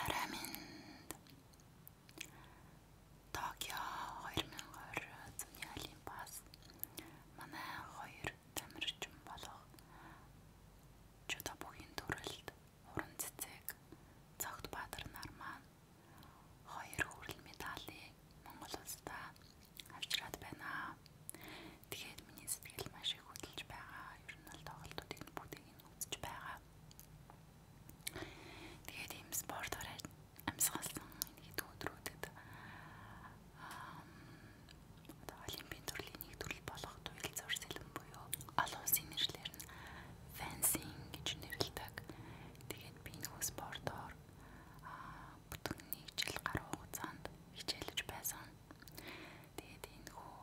Арай минь Токио 2020 зуны Олимпиас манай хоёр тамирчин болох Чуда бүхийн төрөлд уран цэцэг Цогт Баатар нар маань хоёр хүрл медалийг Монгол улсдаа авчираад байна. Тэгээд миний сэтгэл маш их хөдлөж байгаа. Ер нь л тоглолтуудыг бүгдийг гэдгийг нь үзэж байгаа. Тэгээд ийм спортоор амьсгалсан гэдэг өдрүүдэд аа олимпийн төрлийн нэг төрөл болох туйл зур сэлэн буюу олон улсын нэршлэр нь fencing гэж нэрлэдэг. Тэгээд би энэ хөө спортоор аа бүтэн нэг жил гаруй хугацаанд хичээлж байсан. Тэгээд энэ хөө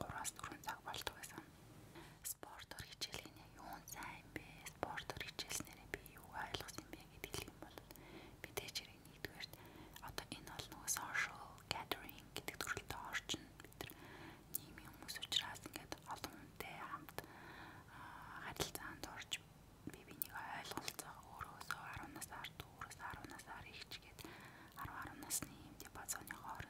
3-4 цаг болдог байсан. Спортоор хичээл гинэ юу сайн бэ? Спортоор хичээлснээр би юу ойлгосон бэ гэдэг юм бол би тэжэрийн нэгдүгээр одоо энэ бол нөгөө social gathering гэдэг төрөлд орчин бид нар нийгмийн хүмүүс учраас ингээд олон хүнтэй хамт харилцаанд орж би бинийг ойлголцох өөрөөсөө 10 насаар дүүрээс 10 насаар ихч гээд 10 10 насны юм диапазоны хоор